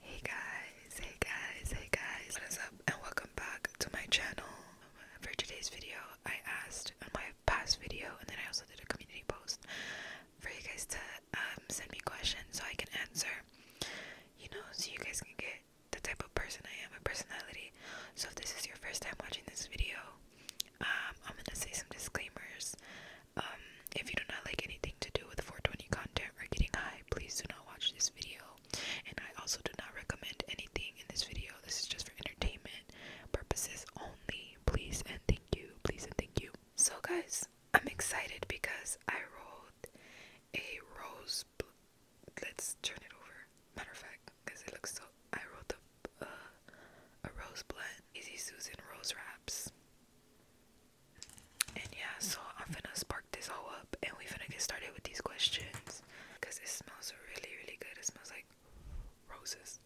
Hey guys, hey guys, hey guys, what is up and welcome back to my channel. For today's video, I asked on uh, my past video and then I also did a community post for you guys to um, send me questions so I can answer, you know, so you guys can get the type of person I am, my personality. So if this is your first time watching this video, um, I'm gonna say some disclaimers. Um, if you do not like anything to do with 420 content or getting high, please do not watch this video. And I also do not recommend anything in this video. This is just for entertainment purposes only. Please and thank you. Please and thank you. So, guys, I'm excited because I rolled a rose. Let's turn it over. Matter of fact, because it looks so. I rolled a, uh, a rose blend. Easy Susan Rose Wraps. And yeah, so I'm gonna spark this all up and we're gonna get started with these questions because it smells really, really good. It smells like roses.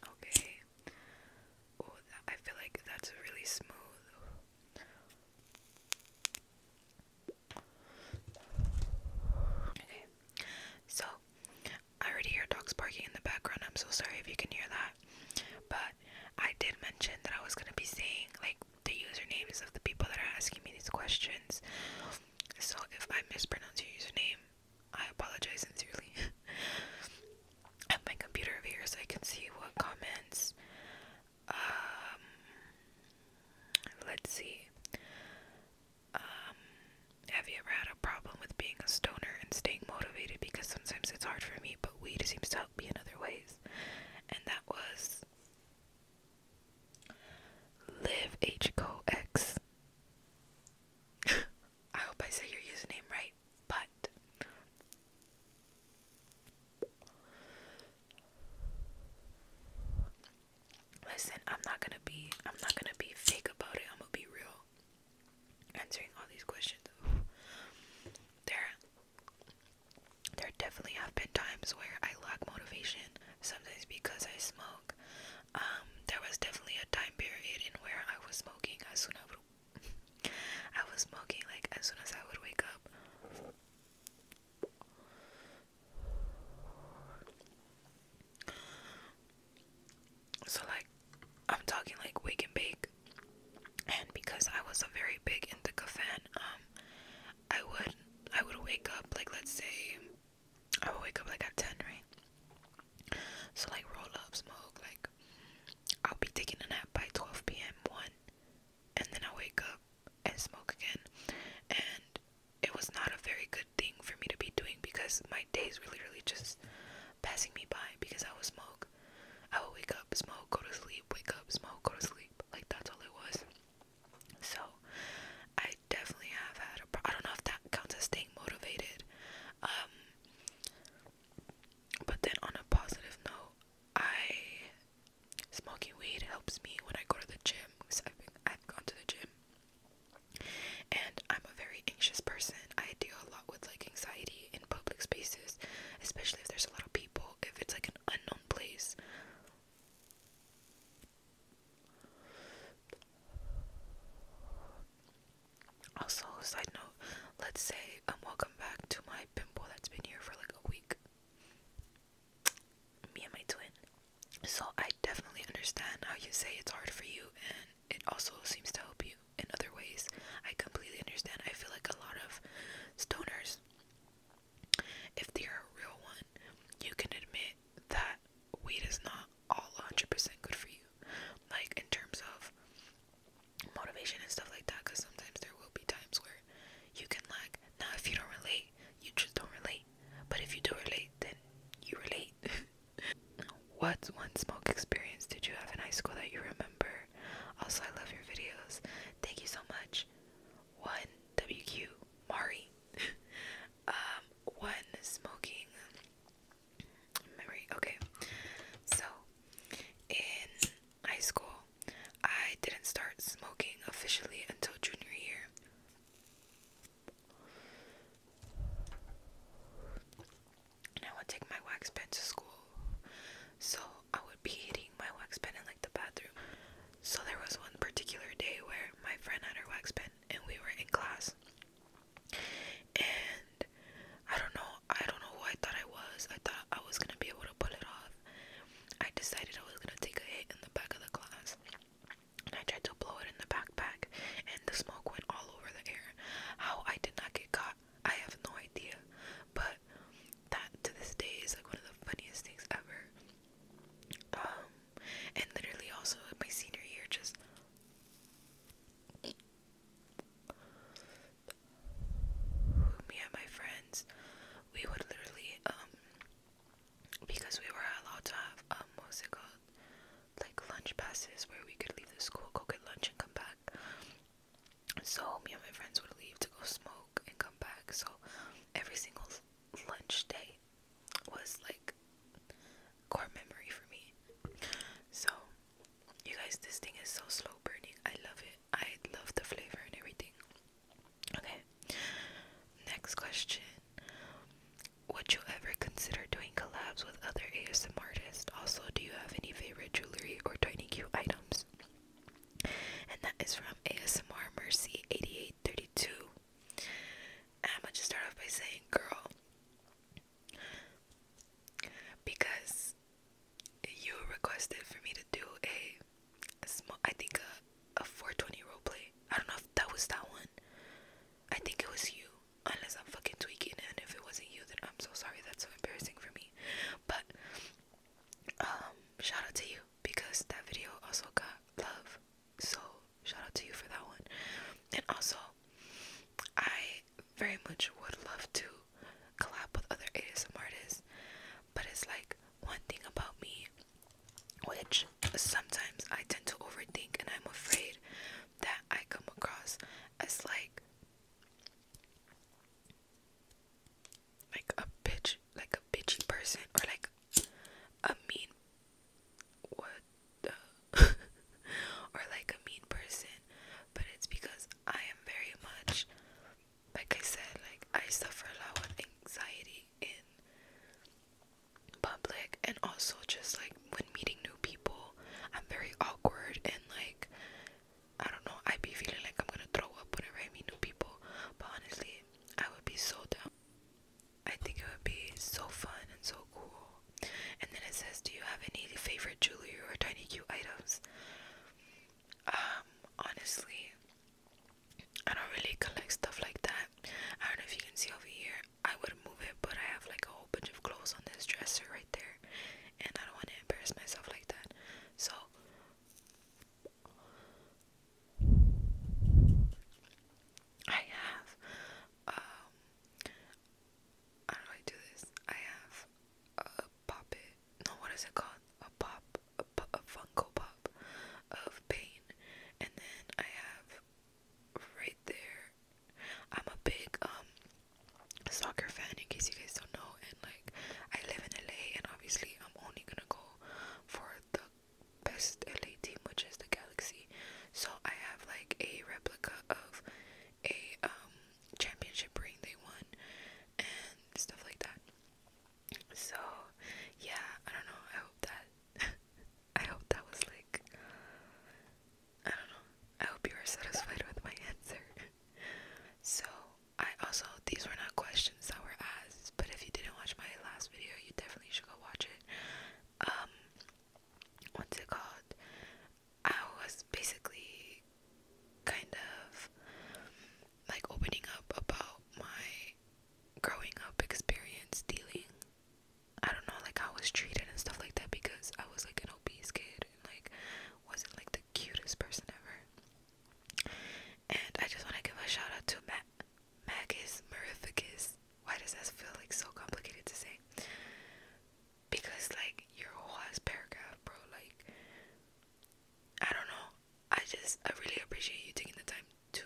Okay. Oh, I feel like that's really smooth. Okay. So, I already hear dogs barking in the background. I'm so sorry if you can hear that. But I did mention that I was gonna be saying like the usernames of the people that are asking me these questions. So if I mispronounce your username, I apologize sincerely. At my computer over here so I can see what comments. Um, let's see. Um, have you ever had a problem with being a stoner and staying motivated? Because sometimes it's hard for me, but weed seems to help me in other ways. And that was Live HCOX. I hope I said your username right, but listen, I'm not gonna be I'm not gonna be fake about it. I'm gonna be real. Answering all these questions. There there definitely have been times where I lack motivation, sometimes because I smoke. Um, there was definitely a time period in where I was smoking as soon as I, I was smoking like as soon as I would wake up. So, like, I'm talking like wake and bake. And because I was a very big Indica fan, um, I would I would wake up like let's say I would wake up like at ten, right? So like roll up, smoke, like I'll be taking a nap by twelve PM one and then I wake up and smoke again and it was not a very good thing for me to be doing because my days were really just passing me by because I would smoke. I would wake up, smoke, go to sleep, wake up, smoke, go to sleep. Like that's all it was. So I definitely have had a. Pro I don't know if that counts as staying motivated. Um, but then on a positive note, I smoking weed helps me when I go to the gym because I've, been, I've gone to the gym and I'm a very anxious person. I deal a lot with like anxiety in public spaces, especially if there's a lot of people, if it's like an unknown place. Also, side note, let's say I'm welcome back to my pimple that's been here for like a week me and my twin. So I definitely understand how you say it's hard for you and it also seems to help you in other ways. I completely understand. I feel like a lot of stoners if they're a real one, you can admit that weed is not all 100% good for you. Like in terms of motivation and stuff like that cuz sometimes there will be times where you can lack. Now if you don't relate, you just don't relate but if you do relate, then you relate. what one smoke experience did you have in high school that you remember? Also, I love your videos. Thank you so much. One WQ Mari. um, one smoking memory. Okay, so in high school, I didn't start smoking officially until junior year. I would take my wax pen to school. So I would be hitting my wax pen in like the bathroom. So there was one particular day where my friend had her wax pen and we were in class. And I don't know, I don't know who I thought I was. I thought I was gonna be able to pull it off. I decided I was gonna take a hit in the back of the class and I tried to blow it in the backpack, and the smoke went all over the air. How I did not get caught, I have no idea, but that to this day is like one of the funniest things ever. Um, and literally also my senior year, just me and my friends, we would literally um because we were allowed to have um what's it called like lunch passes where we could leave the school, go get lunch and come back. So me and my friends would leave to go smoke and come back. So every single lunch day was like core memory for me. So you guys this thing is so slow burning. I love it. I love the flavor and everything. Okay. Next question. Would you ever consider doing collabs with other ASM artists? Also, do you have any favorite jewelry or tiny cute items? And that is from ASMR Mercy 8832. I'm gonna just start off by saying, girl, because you requested for me to do a I think a, a 420 role play. I don't know if that was that one. I think it was you, unless I'm fucking tweaking. And if it wasn't you, then I'm so sorry. That's so embarrassing for me. But um, shout out to you because that video also got love. So shout out to you for that one. And also, I very much would love to collab with other ASM artists, but it's like one thing about me which sometimes I tend to overthink, and I'm afraid that I come across as like like a bitch, like a bitchy person, or like a mean what or like a mean person, but it's because I am very much like I said, like I suffer a lot with anxiety in public and also just like when meeting new people, I'm very awkward and like I don't know, I'd be feeling like I'm gonna throw up when I meet new people. But honestly, I would be so dumb. I think it would be so fun and so cool. And then it says, Do you have any favorite jewelry or tiny cute items? Um, honestly, I don't really collect stuff like that. I don't know if you can see over here. I would move it, but I have like a whole bunch of clothes on this dresser right there, and I don't want to embarrass myself like that. So, I have, um, how I do this? I have a pop No, what is it called? A pop a, a Funko Pop of pain, and then I have right there. I'm a big um, soccer fan, in case you guys don't know, and like I live in LA, and obviously I'm only gonna go for the best LA team, which is the Galaxy. So I have like a replica of a um, championship ring they won and stuff like that. So yeah, I don't know. I hope that I hope that was like I don't know. I hope you were satisfied with my answer. so I also these were not questions that were asked, but if you didn't watch my last video, you definitely should go watch it. Um what's it called? I was basically kind of like opening up about my growing up experience dealing I don't know like how I was treated and stuff like that because I was like an obese kid and like wasn't like the cutest person ever. And I just want to give a shout out to Matt Magus Mirificus. Why does that feel like so complicated to say? Because like your whole ass paragraph, bro, like I don't know. I just I really appreciate you taking the time to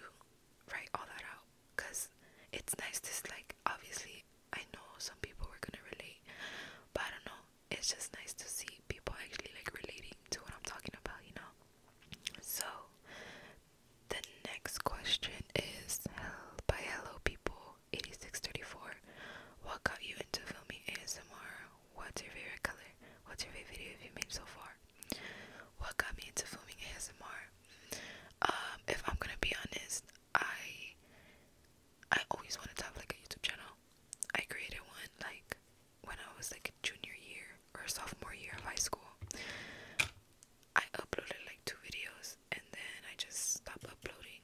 write all that out because it's nice to like obviously I know some people were gonna relate but I don't know it's just nice to see people actually like relating to what I'm talking about you know so the next question is by hello people 8634 what got you into filming ASMR What's your favorite color? What's your favorite video you've made so far? What got me into filming ASMR? Um, if I'm gonna be honest, I I always wanted to have like a YouTube channel. I created one like when I was like junior year or sophomore year of high school. I uploaded like two videos and then I just stopped uploading.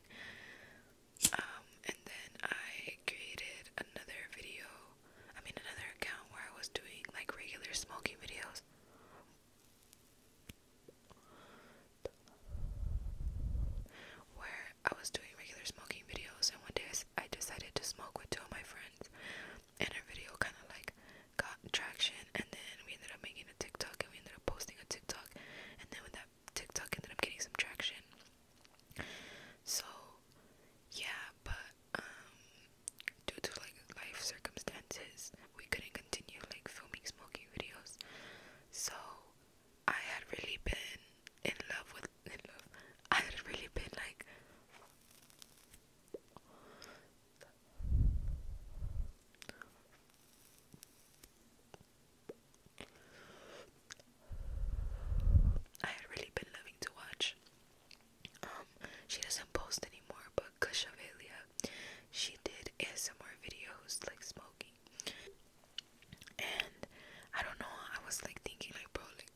Um, and then I created another video I mean, another account where I was doing like regular smoking videos. Where I was doing regular smoking videos, and one day I decided to smoke with two of my friends, and our video kind of like got traction, and then we ended up making a TikTok, and we ended up posting a TikTok, and then with that TikTok ended up getting some traction. So yeah, but um, due to like life circumstances, we couldn't continue like filming smoking videos. So I had really been in love with in love. I had really been like. I had really been loving to watch um, she doesn't post anymore, but Kashavalia, she did ASMR videos like smoking. And I don't know, I was like thinking like bro like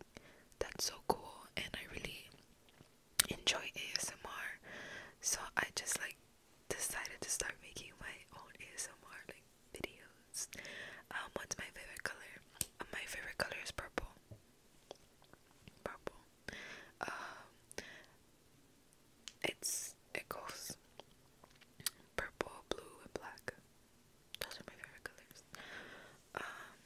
that's so cool and I really enjoy ASMR. So I just like decided to start making my own ASMR like videos. Um what's my favorite color? my favorite color is purple. Purple. Um, it's it goes purple, blue, and black. Those are my favorite colors. Um,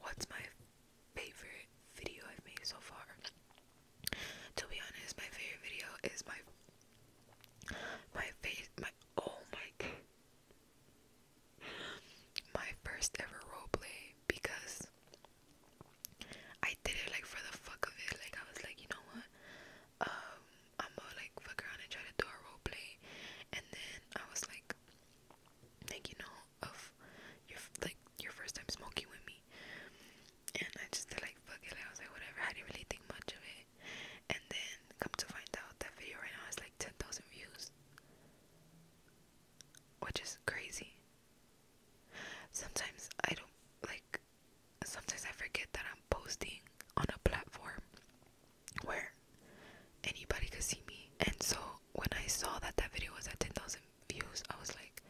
what's my favorite video I've made so far? To be honest, my favorite video is my my face my oh my my first ever roleplay because I did it like for the fuck of it. Like I was like, you know what? Um, I'm gonna like fuck around and try to do a roleplay, and then I was like, like you know, of like your first time smoking with me, and I just like fuck it. I was like whatever. I didn't really think much of it. And then come to find out that video right now has like ten thousand views, which is crazy. Sometimes I don't like. Sometimes I forget that I'm posting on a platform where anybody could see me. And so when I saw that that video was at ten thousand views, I was like,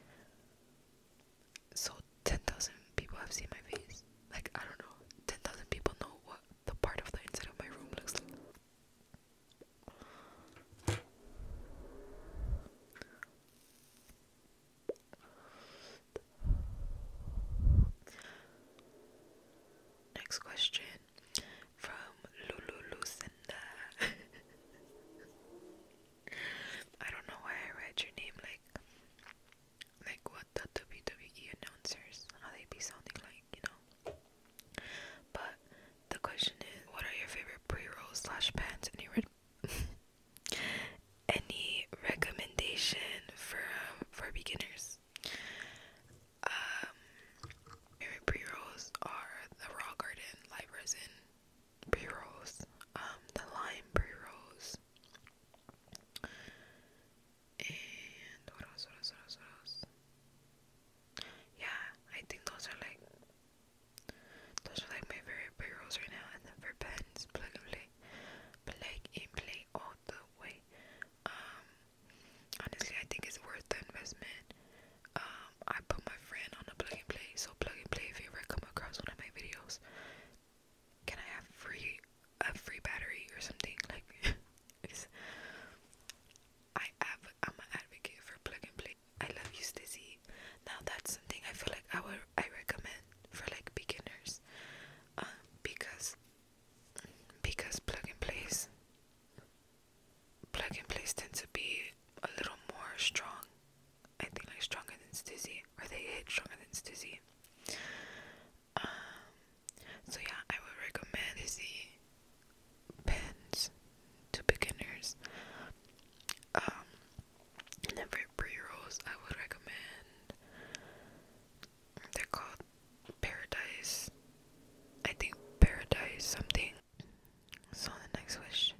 so 10,000 people have seen my face. Like, I don't know, 10,000 people know what the part of the inside of my room looks like. Next question from Lulu Lucinda. I don't know why I read your name like like what the WWE announcers how they be sounding like, you know. But the question is, what are your favorite pre-rolls slash pants? Any any recommendation for for beginners? Um, favorite pre-rolls are the Raw Garden Live Resin pre-rolls, um, the lime pre-rolls, and what else, what else, what else, what else? Yeah, I think those are like, those are like my favorite pre-rolls right now, and then for pens, plug and play, plug and play all the way, um, honestly, I think it's worth the investment, um, I put my friend on a plug and play, so plug and play if you ever come across one of my videos, can I have free a free battery or something like it's, I am an advocate for plug and play. I love you Stizzy. Now that's something I feel like I would I recommend for like beginners. Um because because plug and plays plug and plays tend to be a little more strong I think like stronger than Stussy, or they hit stronger than Stussy. Um, so yeah, I would recommend Stussy pens to beginners. and um, for pre rolls, I would recommend they're called Paradise. I think Paradise something. So the next question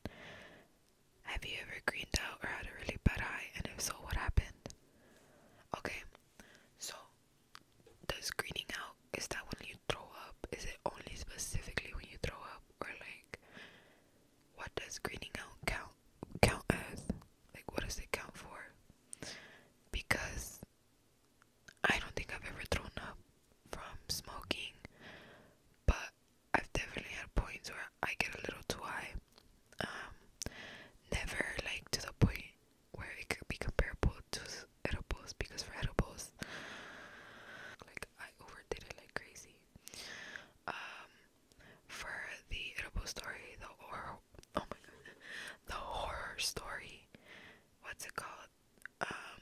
have you ever greened out or had a really bad eye? And if so, what happened? Okay, so does greening out is that when you throw up? Is it only specifically when you throw up, or like what does greening out count count as? Like what does it count for? Because I don't think I've ever thrown up from smoking, but I've definitely had points where I get a little too high. Um, never like to the point where it could be comparable to edibles because for edibles, like I overdid it like crazy. Um, for the edible story, the horror, oh my god, the horror story, what's it called? Um,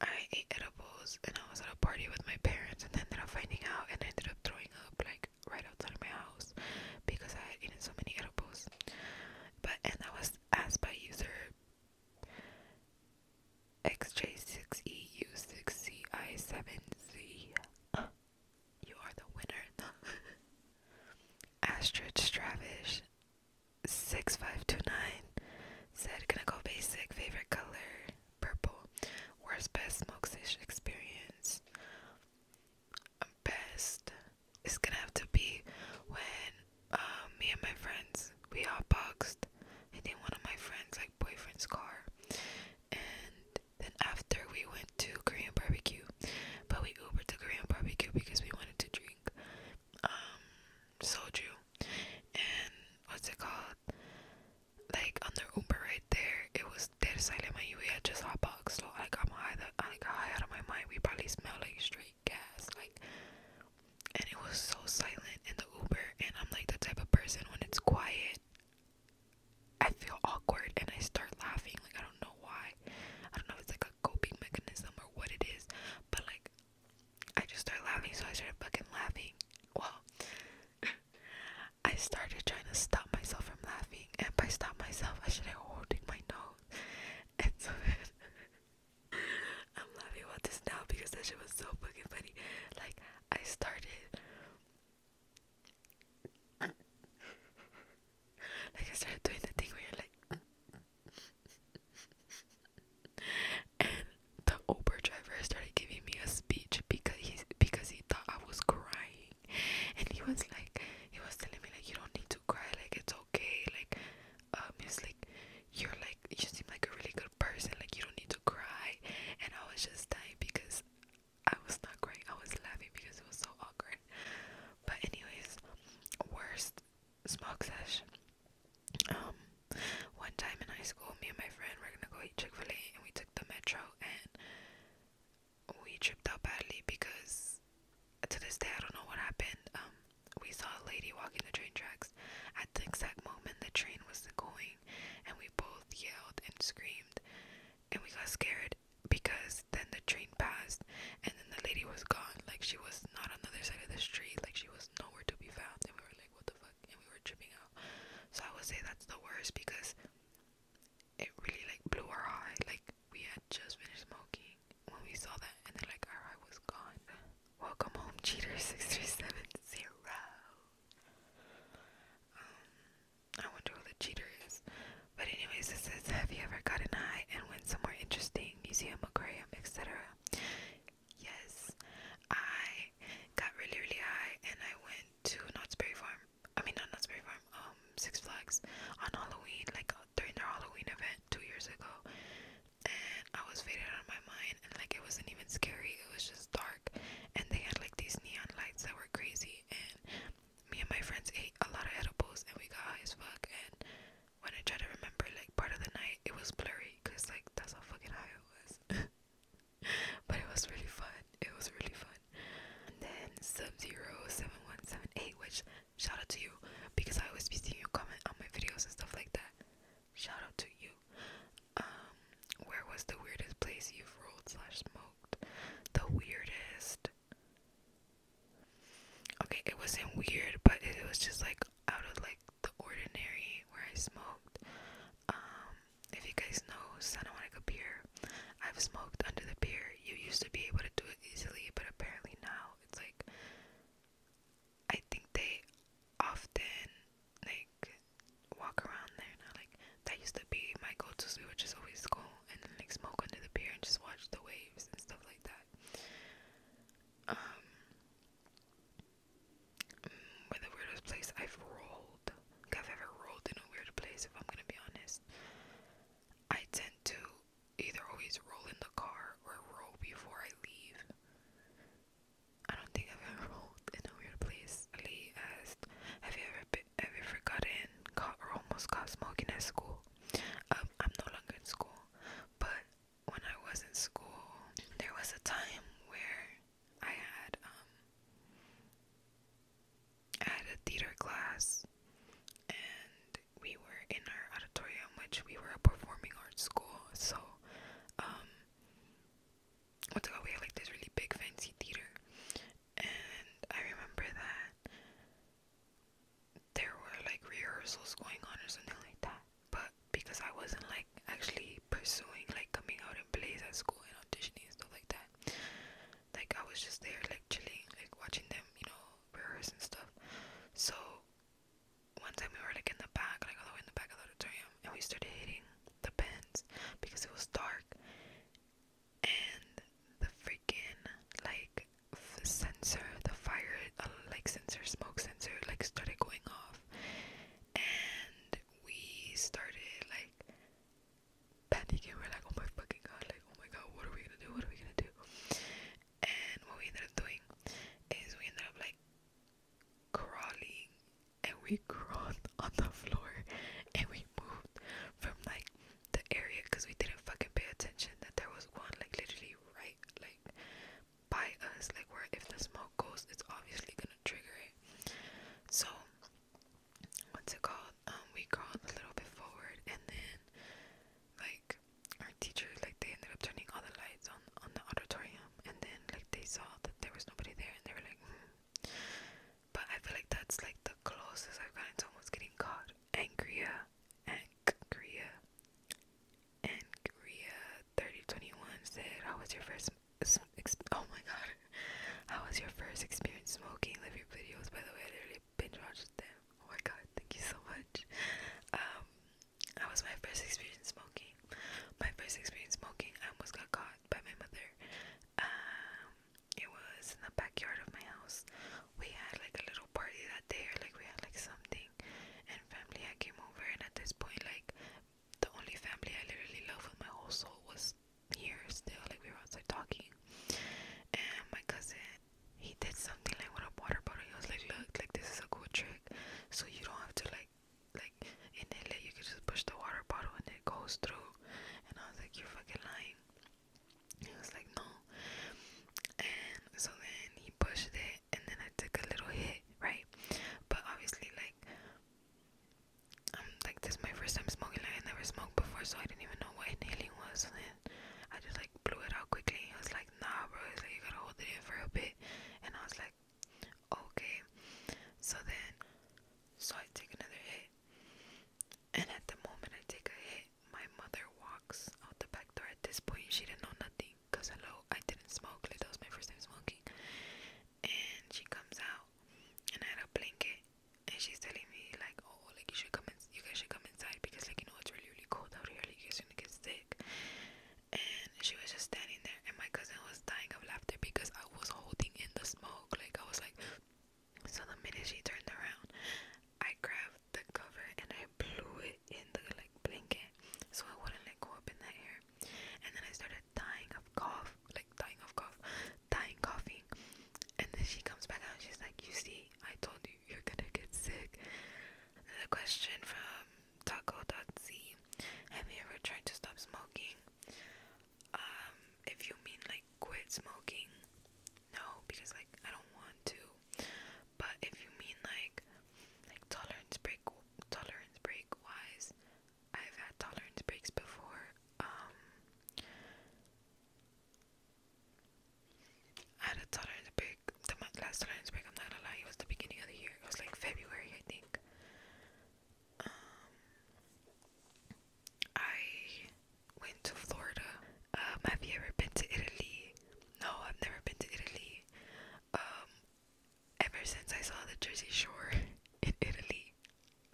I ate edibles and I was at a party with my parents and then ended up finding out and I ended up throwing up like right outside of my house because I had eaten so many edibles. But and that was asked by user XJ6EU6CI7Z. Uh, you are the winner. Astrid Stravish 6529 said, Gonna go basic, favorite color. Purple. Worst best smoke session experience. Best. It's gonna have to be when um, me and my friends we all boxed. I think one of my friends like boyfriend's car, and then after we went to Korean barbecue, but we Ubered to Korean barbecue because we wanted to drink um soju and what's it called like on the Uber right there, it was dead silent. Man, we had just hot box, so like I'm high, that I got high out of my mind. We probably smell like straight gas, like, and it was so silent in the Uber. And I'm like the type of person when it's quiet, I feel awkward and I start laughing. Like I don't know why. I don't know if it's like a coping mechanism or what it is, but like I just started laughing, so I started fucking laughing. Well, I started trying to stop myself from laughing, and by stop myself, I started holding my nose. And so I'm laughing about this now because that shit was so fucking funny. Like, I started. Like I started doing the thing where you're like and the Uber driver started giving me a speech because he because he thought I was crying, and he was like, he was telling me like, you don't need to cry, like it's okay, like, um, he was like, you're like, you seem like a really good person, like you don't need to cry, and I was just dying because I was not crying, I was laughing because it was so awkward. But anyways, worst smoke um, one time in high school, me and my friend were gonna go eat Chick Fil A, and we took the metro, and we tripped out badly because to this day I don't know what happened. Um, we saw a lady walking the train tracks at the exact moment the train was going, and we both yelled and screamed, and we got scared because then the train passed and then the lady was gone like she was not on the other side of the street like she was nowhere to be found and we were like what the fuck and we were tripping out so i would say that's the worst because it really like blew our eye like we had just finished smoking when we saw that and then like our eye was gone welcome home cheater 6370 um i wonder who the cheater is but anyways it says have you ever got an eye? and when? somewhere interesting museum aquarium etc Yes, I got really, really high and I went to Knott's Berry Farm. I mean, not Knott's Berry Farm, um, Six Flags on Halloween, like uh, during their Halloween event two years ago. And I was faded out of my mind, and like it wasn't even scary, it was just dark. And they had like these neon lights that were crazy. And me and my friends ate a lot of edibles, and we got high as fuck. And when I try to remember like part of the night, it was blurry because like that's how fucking high it was. but it was really fun. It was really fun. And then sub which shout out to you because I always be seeing you comment on my videos and stuff like that. Shout out to you. Um, where was the weirdest place you've rolled slash smoked? The weirdest. Okay, it wasn't weird, but it was just like out of like the ordinary where I smoked. Um, if you guys know Santa Monica Pier, I've smoked under the pier. You used to be able to do it easily, but apparently now it's like I think they often like walk around there and Like that used to be my go-to. So we would just always go and like smoke under the pier and just watch the waves and stuff like that. Um, where the weirdest place I've rolled. Like i ever rolled in a weird place, if I'm gonna be honest. I tend to either always roll in the car or roll before I leave. I don't think I've ever rolled in a weird place. Lee asked, "Have you ever been, have you ever gotten caught or almost caught smoking at school?" Um, I'm no longer in school, but when I was in school, there was a time where I had um I had a theater class and we were in our auditorium which we were a performing arts school. So um what's we had like this really big fancy theater and I remember that there were like rehearsals going on or something like that but because I wasn't like actually pursuing like coming out in plays at school and auditioning and stuff like that, like I was just there like chilling, like watching them, you know, rehearse stuff. So one time we were like in the back, like all the way in the back of the auditorium, and we started hitting the pens because it was dark, and the freaking like sensor, the fire like sensor, smoke sensor, like started going off, and we started like panicking. We're like, oh my fucking god, like oh my god, what are we gonna do? What are we gonna do? And what we ended up doing is we ended up like crawling, and we crawled on the floor, and we moved from like the area because we didn't fucking pay attention that there was one like literally right like by us, like where if the smoke goes, it's obviously gonna trigger it. So what's it called? Um, we crawled a little bit forward, and then like our teacher, like they ended up turning all the lights on on the auditorium, and then like they saw that there was nobody there, and they were like. Hmm. But I feel like that's like the closest I've gotten to almost getting caught. angrier, and Korea. And Korea 3021 said, How was your first? Oh my god. How was your first experience smoking? Love your videos, by the way. I literally binge watched them. Oh my god, thank you so much. Um, that was my first experience smoking. My first experience smoking, I almost got caught by my mother. Um, it was in the backyard of my house. We had like a little little party that day or like we had like something and family I came over and at this point like the only family I literally loved with my whole soul was here still like we were outside talking and my cousin he did something like with a water bottle he was like look like this is a cool trick so you don't have to like like inhale it you can just push the water bottle and it goes through and I was like you're fucking lying he was like no and so then he pushed it and then I took a little hit, right? But obviously, like, um, like this is my first time smoking. Like, I never smoked before, so I didn't even know what inhaling was. And I just like blew it out quickly. And I was like, "Nah, bro, it's like you gotta hold it in for a bit." And I was like, "Okay." So then, so I take another hit, and at the moment I take a hit, my mother walks out the back door. At this point, she didn't know nothing smoking because hello I didn't smoke like that was my first time smoking and she comes out and I had a blanket and she's telling me like oh like you should come in you guys should come inside because like you know it's really really cold out here like you guys are gonna get sick and she was just standing there and my cousin was dying of laughter because I was holding in the smoke like I was like so the minute she turned around I grabbed the cover and I blew it in the like blanket so it wouldn't like go up in the air. And then I started dying of cough, like dying of cough, dying coughing. And then she comes back out and she's like, You see, I told you you're gonna get sick. Another question from Taco.z Have you ever tried to stop smoking? Um, if you mean like quit smoking, no, because like I don't want to. But if you mean like like tolerance break tolerance break wise, I've had tolerance breaks before. Um, I had a tolerance break. The last tolerance break, I'm not gonna lie, it was the beginning of the year. It was like February, I think. Um, I went to Florida. Uh, have you ever been to Italy? No, I've never been to Italy. Um, ever since I saw the Jersey Shore in Italy,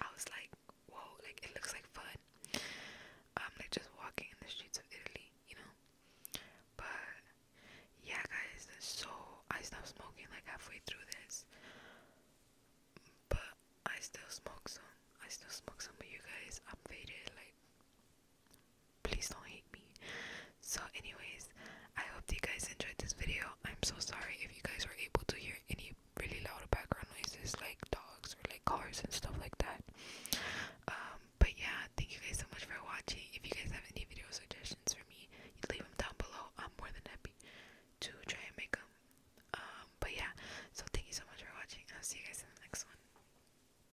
I was like, whoa, like it looks like fun. Um, like just walking in the streets of Italy, you know. But yeah, guys, so I stopped smoking like halfway through this, but I still smoke some. I still smoke some, but you guys, updated Like please don't hate me so anyways i hope you guys enjoyed this video i'm so sorry if you guys were able to hear any really loud background noises like dogs or like cars and stuff like that um but yeah thank you guys so much for watching if you guys have any video suggestions for me you leave them down below i'm more than happy to try and make them um but yeah so thank you so much for watching i'll see you guys in the next one